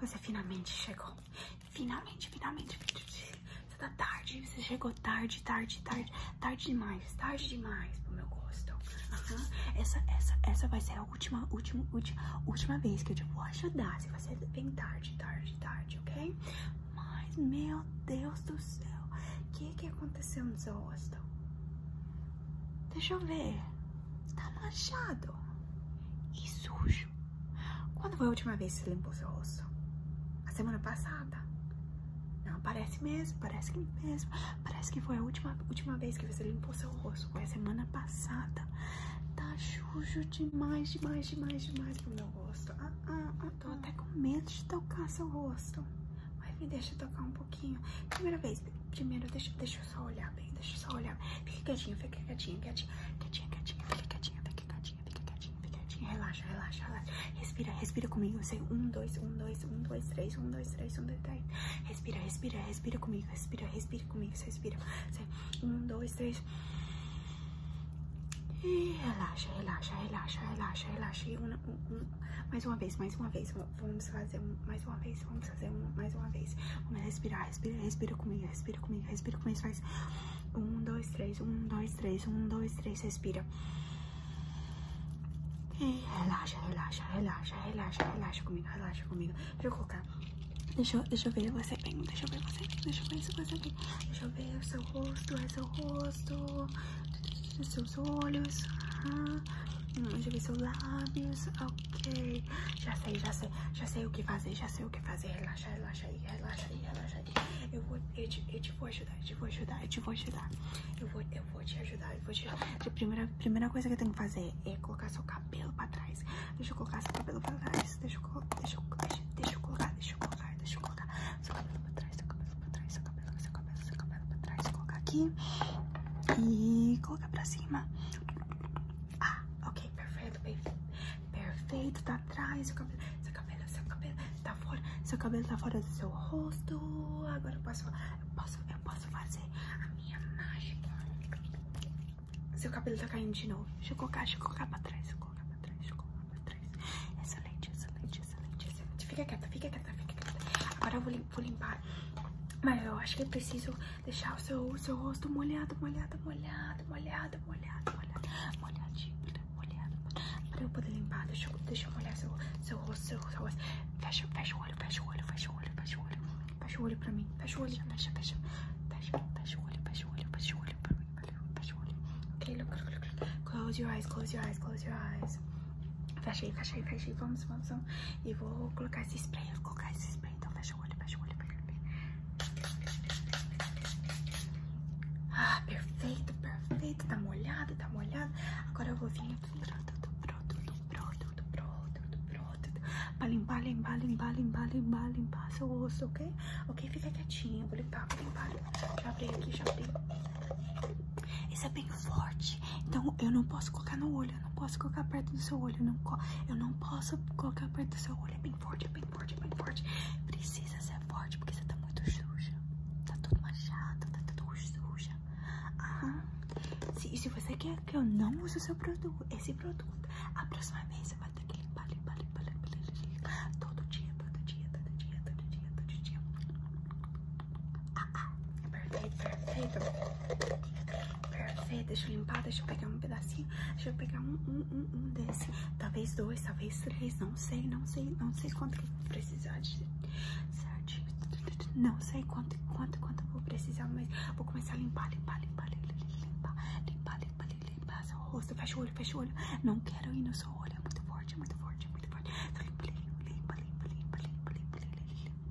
Você é finalmente chegou. Finalmente, finalmente. Você tá tarde. Você chegou tarde, tarde, tarde. Tarde demais. Tarde demais pro meu gosto. Uhum. Essa, essa, essa vai ser a última, última, última, última vez que eu te tipo, vou ajudar. Se Você vem tarde, tarde, tarde, ok? Mas, meu Deus do céu. O que que aconteceu no seu rosto? Deixa eu ver. Tá manchado e sujo. Quando foi a última vez que você limpou seu rosto? A semana passada. Não, parece mesmo, parece que mesmo. Parece que foi a última, última vez que você limpou seu rosto. Foi a semana passada. Tá sujo demais, demais, demais, demais pro meu rosto. Ah, ah, ah, tô até com medo de tocar seu rosto. Mas me deixa tocar um pouquinho. Primeira vez, primeiro, deixa, deixa eu só olhar bem, deixa eu só olhar. Fica quietinho fica quietinho quietinho quietinho quietinho fica quietinho fica quietinho fica quietinho Relaxa, relaxa, Respira, respira comigo. Sei, um, dois, um, dois, um, dois, três, um, dois, três, um, dois, três. Respira, respira, respira comigo, respira, respira comigo, você respira. um, dois, três. E relaxa, relaxa, relaxa, relaxa, relaxa. E uma, Mais uma vez, mais uma vez. Vamos fazer mais uma vez, vamos fazer mais uma vez. Vamos respirar, respira, respira comigo, respira comigo, respira comigo. Faz um, dois, três, um, dois, três, um, dois, três, respira. relaxa, relaxa, relaxa, relaxa, relaxa comigo, relaxa comigo. Deixa eu colocar. Deixa, deixa eu ver você bem, deixa eu ver você deixa eu ver você bem. Deixa eu ver o seu rosto, o é seu rosto, seus olhos. Ah, hum, deixa eu ver seus lábios, ok. Ok, já sei, já sei, já sei o que fazer, já sei o que fazer. Relaxa, relaxa aí, relaxa aí, relaxa aí. Eu vou, eu te, eu te vou ajudar, eu te vou ajudar, eu te vou ajudar. Eu vou, eu vou te ajudar, eu vou te A primeira, primeira coisa que eu tenho que fazer é colocar seu cabelo pra trás. Deixa eu colocar seu cabelo pra trás. Deixa eu, deixa eu, deixa, eu colocar, deixa eu colocar, deixa eu colocar seu cabelo pra trás, seu cabelo pra trás, cabelo, seu cabelo, seu cabelo pra trás. Colocar aqui e colocar pra cima. Ah, ok, perfeito, perfeito. Perfeito, tá atrás, seu cabelo, seu cabelo, seu cabelo tá fora, seu cabelo tá fora do seu rosto. Agora eu posso, eu posso, eu posso fazer a minha mágica. Seu cabelo tá caindo de novo. Deixa eu colocar, deixa eu colocar pra trás, deixa eu colocar pra trás, deixa eu colocar pra trás. Excelente, excelente, excelente, Fica quieta, fica quieta, fica quieta. Agora eu vou vou limpar. Mas eu acho que preciso deixar o seu, seu rosto molhado, molhado, molhado, molhado, molhado, molhado, molhado molhado, pra eu poder limpar. Deixa eu, molhar seu, seu rosto, seu, rosto. Fecha, fecha o olho, fecha o olho, fecha o olho, fecha o olho. Fecha o olho pra mim, fecha o olho, fecha, fecha. Fecha, fecha o olho, fecha o olho, fecha o olho pra mim, fecha o olho. Ok, look, look, look. Close your eyes, close your eyes, close your eyes. Fecha aí, fecha aí, fecha aí. Vamos, vamos, vamos. E vou colocar esse spray, colocar esse então fecha o olho, fecha o olho, fecha o olho. Ah, perfeito, perfeito. Tá molhado, tá molhado. Agora eu vou vir aqui. Produto, produto, produto, produto, produto. Pra limpar, limpar, limpar, limpar, limpar, limpar seu osso, ok? Ok, fica quietinho. vou limpar, vou limpar. Já abri aqui, já abri. Isso é bem forte. Então eu não posso colocar no olho, eu não posso colocar perto do seu olho, eu não, eu não posso colocar perto do seu olho. É bem forte, é bem forte, é bem forte. Precisa ser forte porque você tá muito suja. Tá tudo manchado, tá tudo suja. Aham. Se, se você quer que eu não use seu produto, esse produto, a próxima vez você vai ter que limpar, limpar, limpar, limpar, limpar, todo dia, todo dia, todo dia, todo dia, todo dia. Perfeito, perfeito. Perfeito, deixa eu limpar, deixa eu pegar um pedacinho, deixa eu pegar um, um, um, um desse. Talvez dois, talvez três, não sei, não sei, não sei quanto que vou precisar de... Não sei quanto, quanto, quanto vou precisar, mas vou começar a limpar, limpar, limpar, limpar, limpar, limpar, limpar, limpar, limpar seu rosto. Fecha o olho, fecha o olho. Não quero ir no seu olho, é muito forte, é muito forte, é muito forte. Só limpa, limpa, limpa, limpa, limpa, limpa, limpa, limpa, limpa,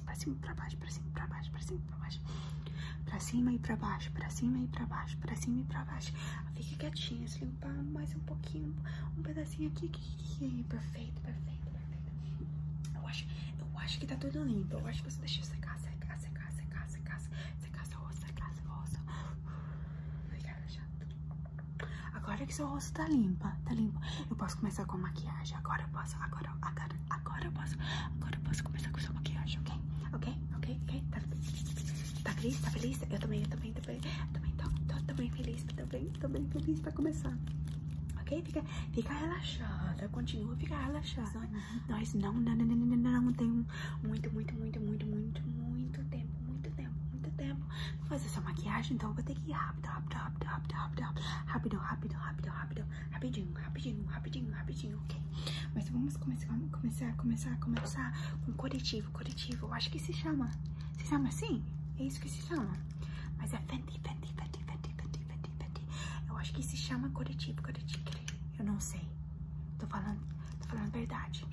pra cima, pra baixo, pra cima, pra baixo, pra cima, pra baixo. Pra cima e pra baixo, pra cima e pra baixo, pra cima e pra baixo. Fica quietinha, se limpar mais um pouquinho, um pedacinho aqui, Perfeito, perfeito, perfeito. Eu acho, eu acho que tá tudo limpo. Eu acho que você deixou secar, secar, secar, secar, secar, secar seu rosto, secar seu rosto. Obrigada, Agora que seu rosto tá limpa, tá limpo. Eu posso começar com a maquiagem. Agora eu posso, agora agora, agora, eu posso, agora posso começar com sua maquiagem, ok? Ok? Ok? Ok? Tá, tá feliz? Tá feliz? Eu também, eu também, eu também, também tô, feliz, tô bem, feliz pra começar. Ok? Fica, fica relaxada, continua, fica relaxada. Nós não, não, não, não, não, não temos muito, muito, muito, muito, muito, muito tempo, muito tempo, muito tempo pra fazer essa maquiagem, então eu vou ter que ir rápido, rápido, rápido, rápido, rápido, rápido, rapidinho, rapidinho, rapidinho, rapidinho, ok? Mas vamos começar, começar, começar, começar com corretivo, corretivo. Eu acho que se chama, se chama assim? É isso que se chama? Mas é Fenty, Fenty, Fenty, Fenty, Fenty, Fenty, Fenty. Eu acho que se chama corretivo, corretivo. Eu não sei. Tô falando, tô falando verdade.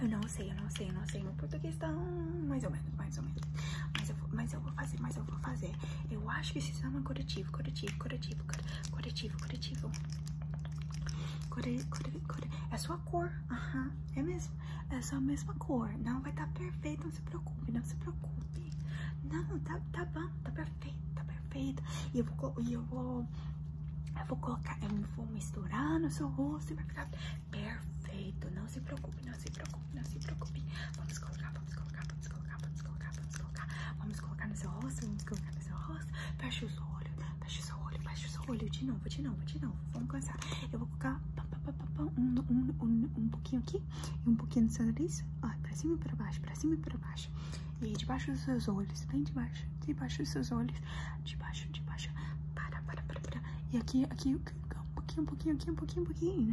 Eu não sei, eu não sei, eu não sei. no português tá mais ou menos, mais ou menos. Mas eu, vou, mas eu vou fazer, mas eu vou fazer. Eu acho que esse exame é corretivo, corretivo, corretivo, corretivo, corretivo. Core, É sua cor, uhum. é mesmo, é sua mesma cor. Não, vai estar tá perfeito, não se preocupe, não se preocupe. Não, tá, tá bom, tá perfeito, tá perfeito. E eu vou, e eu vou, eu vou colocar, eu vou misturar no seu rosto perfeito, não se preocupe preocupe, não se preocupe, não se preocupe. Vamos colocar, vamos colocar, vamos colocar, vamos colocar, vamos colocar. Vamos colocar no seu rosto, vamos colocar no seu rosto. Fecha os olhos olho, fecha o seu olho, fecha o seu De novo, de novo, de novo. Vamos começar. Eu vou colocar um, um, um, um pouquinho aqui e um pouquinho no seu nariz. Ó, pra cima e pra baixo, pra cima e pra baixo. E debaixo dos seus olhos, bem debaixo, debaixo dos seus olhos, debaixo, debaixo, para, para, para, para. E aqui, aqui, um pouquinho, um pouquinho, aqui, um pouquinho, um pouquinho, e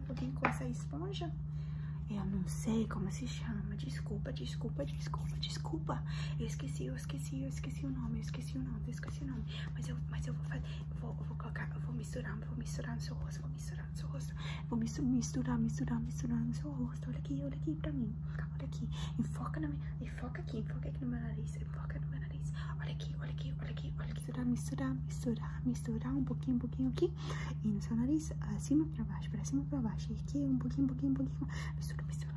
alguém com essa esponja. Eu não sei como se chama. Desculpa, desculpa, desculpa, desculpa. Eu esqueci, eu esqueci, eu esqueci o nome, eu esqueci o nome, eu esqueci o nome. Mas eu, mas eu vou fazer, eu vou, vou colocar, vou misturar, vou misturar no seu rosto, vou misturar no seu rosto. Vou misturar, misturar, misturar, misturar no seu rosto. Olha aqui, olha aqui pra mim. Olha aqui. Enfoca na minha, enfoca aqui, enfoca aqui no meu nariz, enfoca no meu nariz. Olha aqui, olha aqui, olha aqui, olha aqui misturar, misturar, misturar, misturar um pouquinho, um pouquinho aqui e no seu nariz, acima para baixo, para cima para baixo, e aqui um pouquinho, um pouquinho, um pouquinho, mistura, mistura,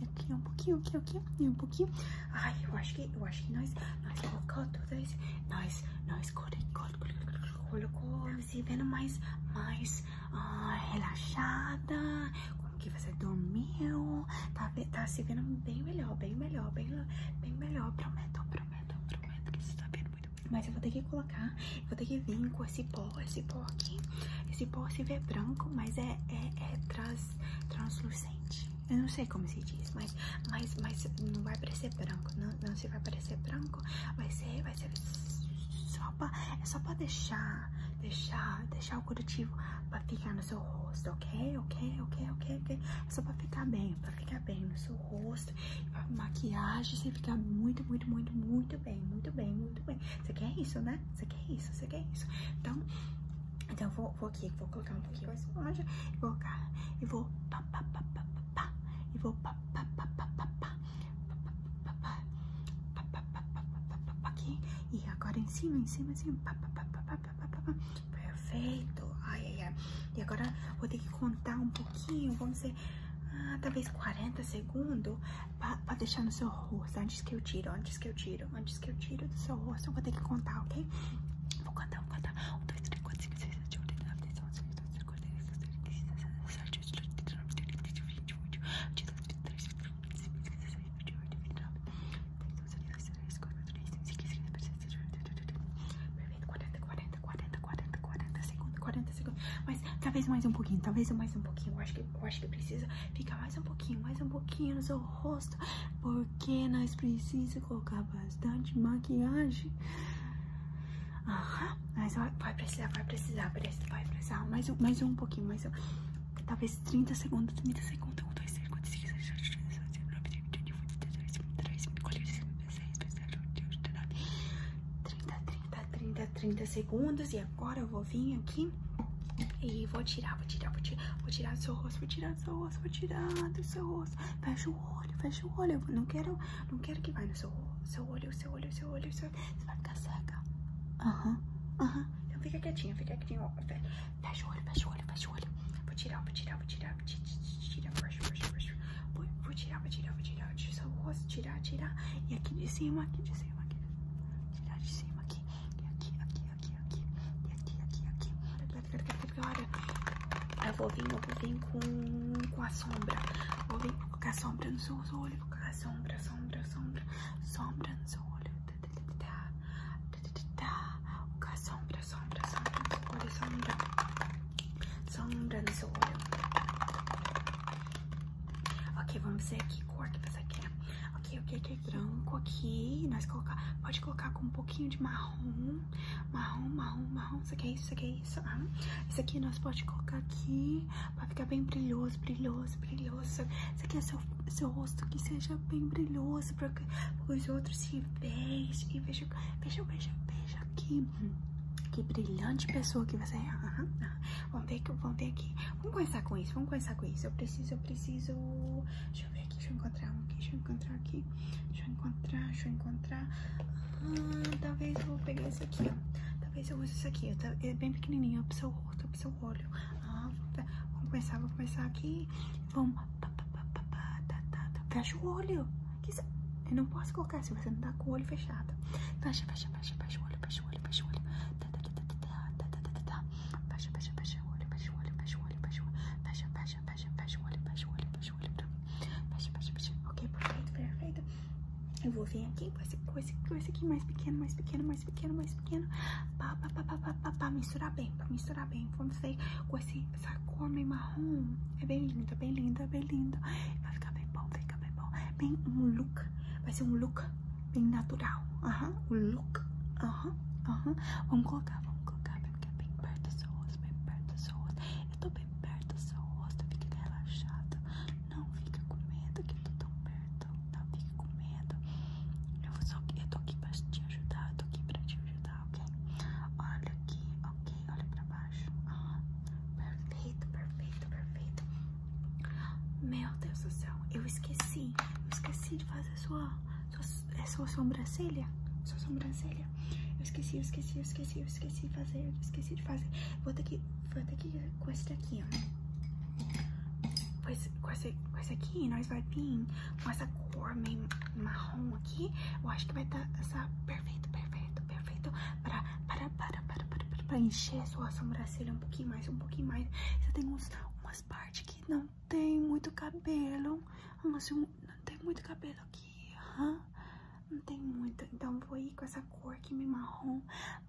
e aqui um pouquinho, aqui, aqui, e um pouquinho. Ai, eu acho que, eu acho que nós, nós colocamos, nós, nós colocamos e vendo mais, mais relaxada, como que você dormiu, tá, tá, se vendo bem melhor, bem melhor, bem, bem melhor, prometo, prometo, prometo que você tá vendo muito bem. Mas eu vou ter que colocar, vou ter que vir com esse pó, esse pó aqui, esse pó se vê branco, mas é, é, é trans, translucente. Eu não sei como se diz, mas, mas, mas não vai parecer branco, não, não se vai parecer branco, vai ser, vai ser só pra, é só pra deixar, deixar, deixar curativo corretivo pra ficar no seu rosto, ok? Ok, ok, ok, ok. só pra ficar bem, pra ficar bem no seu rosto. pra maquiagem, você ficar muito, muito, muito, muito bem, muito bem, muito bem. Você quer isso, né? Você quer isso, você quer isso. Então, então vou, vou aqui, vou colocar um pouquinho mais longe. E vou, e vou, pá, pá, pá, pá, pá, E vou, pá, pá, pá, pá, pá, pá. pá, pá aqui e agora em cima, em cima, em cima. Perfeito. Ai, ai, ai. E agora vou ter que contar um pouquinho, vamos dizer, talvez 40 segundos para deixar no seu rosto. Antes que eu tiro, antes que eu tiro, antes que eu tiro do seu rosto, eu vou ter que contar, ok? Vou contar, vou contar. 1, 2, 3, 4, 5, 6, 7, 8, 9, 10, 11, 12, 13, 14, 15, 16, 17, 18, 19, 20, 21, 22, 23, 24, segundos segundos Mas talvez mais um pouquinho, talvez mais um pouquinho. Eu acho que, eu acho que precisa ficar mais um pouquinho, mais um pouquinho no seu rosto. Porque nós precisamos colocar bastante maquiagem. Aham, mas vai precisar, vai precisar, vai precisar mais um, mais um pouquinho, mais um. Talvez 30 segundos, 30 segundos. 1, 2, 3, 4, 5, 6, 7, 8, 9, 10, 11, 12, 13, 14, 15, 16, 17, 18, 19, 30, 30, 30 segundos. E agora eu vou vir aqui e vou tirar, vou tirar, vou tirar, vou tirar do seu rosto, vou tirar do seu rosto, vou tirar do seu rosto. Fecha o olho, fecha o olho. Eu não quero, não quero que vá no seu, seu olho, seu olho, seu olho, seu olho. Seu olho você vai ficar cega. Aham, uhum, aham. Então fica quietinha, fica quietinha. Fecha o olho, fecha o olho, fecha o olho. Vou tirar, vou tirar, vou tirar, vou tirar, brush, brush, Vou, tirar, vou tirar, vou tirar. tirar o rosto, tirar, tirar. E aqui de cima, aqui de cima, aqui. Tirar de cima, aqui. aqui, aqui, aqui, aqui. aqui, aqui, aqui. Olha, eu vou vir, eu vou vir com, com a sombra. Vou vir colocar a sombra no seu olho, vou colocar a sombra sombra, sombra, sombra no seu olho. O sombra, sombra, sombra no seu olho, sombra. Sombra no seu olho. Ok, vamos ver aqui cor que você quer. Ok, ok, que é branco aqui. Nós colocar, pode colocar com um pouquinho de marrom. Marrom, marrom, marrom. Isso aqui é isso, isso aqui é isso. Ah, aqui nós pode colocar aqui. Pra ficar bem brilhoso, brilhoso, brilhoso. Você quer seu, seu rosto que seja bem brilhoso para que os outros se vejam. veja, veja, veja, vejam, vejam Que brilhante pessoa que você é. Vamos ver, vamos ver aqui. Vamos começar com isso, vamos começar com isso. Eu preciso, eu preciso... Deixa eu ver aqui, deixa eu encontrar um aqui, deixa eu encontrar aqui. Deixa eu encontrar, deixa eu encontrar. Ah, talvez eu vou pegar esse aqui, ó. Talvez eu use isso aqui. Eu tá, é bem pequenininho, é pro seu rosto, é pro seu olho. vamos começar, vamos começar aqui. Vamos. Fecha o olho. Eu não posso colocar se você não tá com o olho fechado. Fecha, fecha, fecha, fecha o olho, fecha o olho, fecha o olho. Fecha, fecha, fecha o olho, fecha o olho, fecha o olho, fecha o olho. Fecha, fecha, fecha, fecha o olho, fecha o olho, fecha o olho. Fecha, fecha, fecha. Ok, perfeito, perfeito. Eu vou vir aqui com esse, com esse, aqui mais pequeno, mais pequeno, mais pequeno, mais pequeno. Pá, pá, pá, pá, pá, pá, pá misturar bem, pra misturar bem. Vamos ver com esse, essa cor meio marrom. É bem linda, bem linda, bem linda. Vai ficar bem bom, vai ficar bem bom. Bem um look, vai ser um look bem natural. Aham, um look. Aham, uh aham. Vamos colocar, vamos colocar, vai ficar é bem perto dos suas bem perto dos suas eu tô bem perto do seu rosto, fique relaxada, Não fica com medo que eu tô tão perto. Não tá? fique com medo. Eu, só, eu tô aqui pra te ajudar, eu tô aqui pra te ajudar, ok? Olha aqui, ok? Olha pra baixo. Ah, perfeito, perfeito, perfeito. Meu Deus do céu, eu esqueci. Eu esqueci de fazer a sua, sua, é sua sobrancelha. Sua sobrancelha. Eu esqueci, eu esqueci, eu esqueci, eu esqueci de fazer, eu esqueci de fazer. Vou ter que Vou ter que com esse daqui, ó. Né? Com esse, com esse, com esse aqui, nós vai vir com essa cor meio marrom aqui. Eu acho que vai estar essa perfeito, perfeito, perfeito para, para, para, para, para, para, encher sua sobrancelha um pouquinho mais, um pouquinho mais. Você tem uns, umas partes que não tem muito cabelo, não tem muito cabelo aqui não tem muito, então vou ir com essa cor aqui, meio marrom,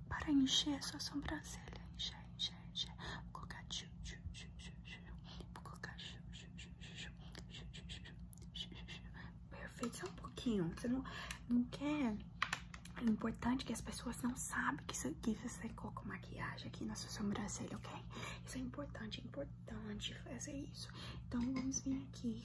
para encher a sua sobrancelha, encher, encher, encher, vou colocar tchu, tchu, tchu, tchu, tchu. vou colocar tchu, tchu, tchu, tchu, tchu, tchu, tchu, tchu. perfeito, só um pouquinho, você não, não quer... É importante que as pessoas não sabem que, isso, que você colocou maquiagem aqui na sua sobrancelha, ok? Isso é importante, importante fazer isso. Então, vamos vir aqui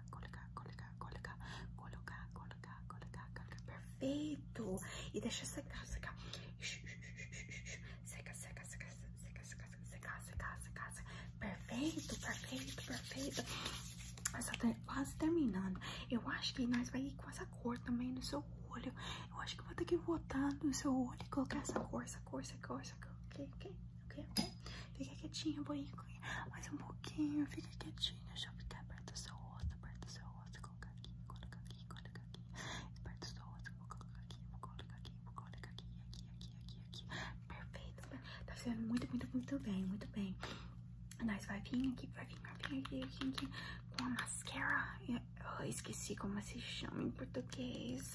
colocar, colocar, colocar, colocar, colocar, colocar, colocar, Perfeito! E deixa secar, secar. Seca, seca, seca, seca, seca, seca, seca, seca, Perfeito, perfeito, perfeito. Essa tá quase terminando. Eu acho que nós vai ir com essa cor também no seu olho. Eu acho que vou ter que botar no seu olho e colocar essa cor, essa cor, essa cor. Ok, ok ok? Fica quietinha, boinha, mais um pouquinho, fica quietinha, deixa eu ficar perto do seu rosto, perto do seu rosto, colocar aqui, colocar aqui, colocar aqui, perto do seu rosto, vou colocar aqui, vou colocar aqui, vou colocar aqui, aqui, aqui, aqui, perfeito, tá fazendo muito, muito, muito bem, muito bem. Nós vai vir aqui, vai vir, vai vir aqui, aqui, aqui, com a mascara, eu esqueci como se chama em português.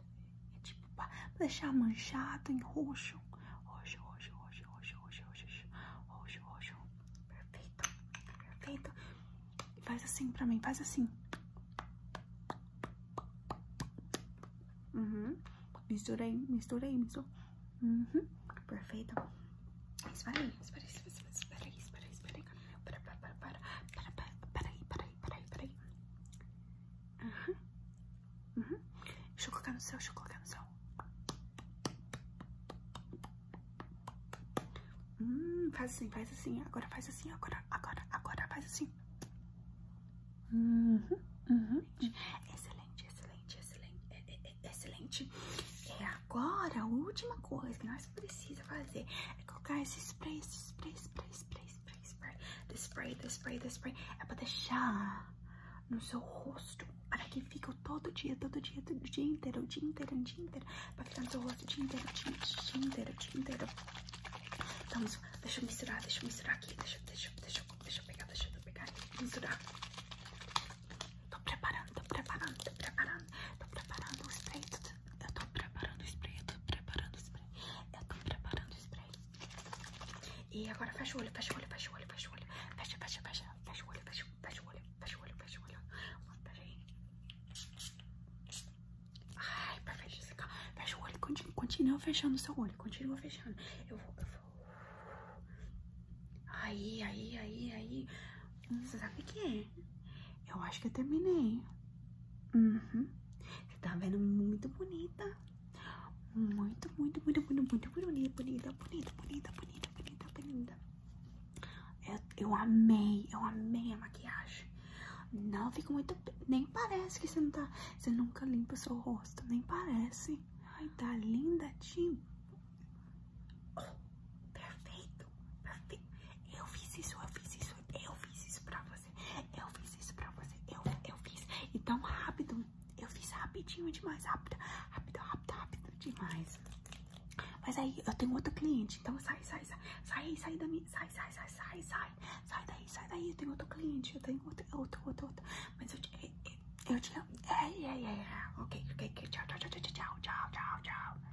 É tipo deixar manchado, em roxo. Roxo, roxo, roxo, roxo, roxo, roxo, roxo, roxo. Perfeito, perfeito. faz assim pra mim, faz assim. Uhum. misturei misturei mistura Uhum. Perfeito. Espera aí, espera aí, espera aí, espera aí, espera aí, espera aí. Para, para, para, para, para, para, para, para, peraí, peraí, peraí. Uhum. Deixa eu colocar no céu, deixa eu colocar no céu. Hum, faz assim, faz assim, agora faz assim, agora, agora, agora faz assim. Uhum, uhum. Excelente, excelente, excelente, é, é, é, excelente. É agora a última coisa que nós mas precisa fazer é colocar esse spray, spray spray, spray, spray, spray, spray, spray spray, the spray, the spray. É pra deixar no seu rosto, para que fique todo dia, todo dia, todo dia inteiro, o dia inteiro, o dia inteiro, pra ficar no seu rosto o dia inteiro, o dia, o dia inteiro, o dia inteiro. Então, deixa eu misturar, deixa eu misturar aqui, deixa, deixa, deixa, deixa eu pegar, deixa eu pegar, misturar. Tô preparando, tô preparando, tô preparando, tô preparando o spray, spray tudo eu tô preparando o spray, eu tô preparando o spray. Eu tô preparando o spray. E agora fecha o olho, fecha o olho, fecha o olho, fecha o olho. Fecha, fecha, fecha. Fecha o olho, fecha, fecha o olho, fecha o olho, fecha o olho. Peraí. Ai, perfeito. Fecha o olho, continua, continua fechando o seu olho, continua fechando. Eu vou, eu vou. Aí, aí, aí, aí. Você sabe o que é? Eu acho que eu terminei. Uhum. Você tá vendo muito bonita. Muito, muito, muito, muito, muito bonita, bonita, bonita, bonita, bonita, bonita, bonita. Eu, amei, eu amei a maquiagem. Não fica muito. Nem parece que você não tá. Você nunca limpa o seu rosto. Nem parece. Ai, tá linda, Tim. Oh, eu fiz isso, eu fiz isso, eu fiz isso pra você, eu fiz isso pra você, eu, eu fiz. E tão rápido, eu fiz rapidinho demais, rápido, rápido, rápido, rápido demais. Mas aí eu tenho outro cliente, então sai, sai, sai, sai, sai da minha, sai, sai, sai, sai, sai, sai daí, sai daí, eu tenho outro cliente, eu tenho outro, outro, outro, outro. Mas eu te, eu te, é, é, é, é ok, ok, tchau, tchau, tchau, tchau, tchau, tchau, tchau.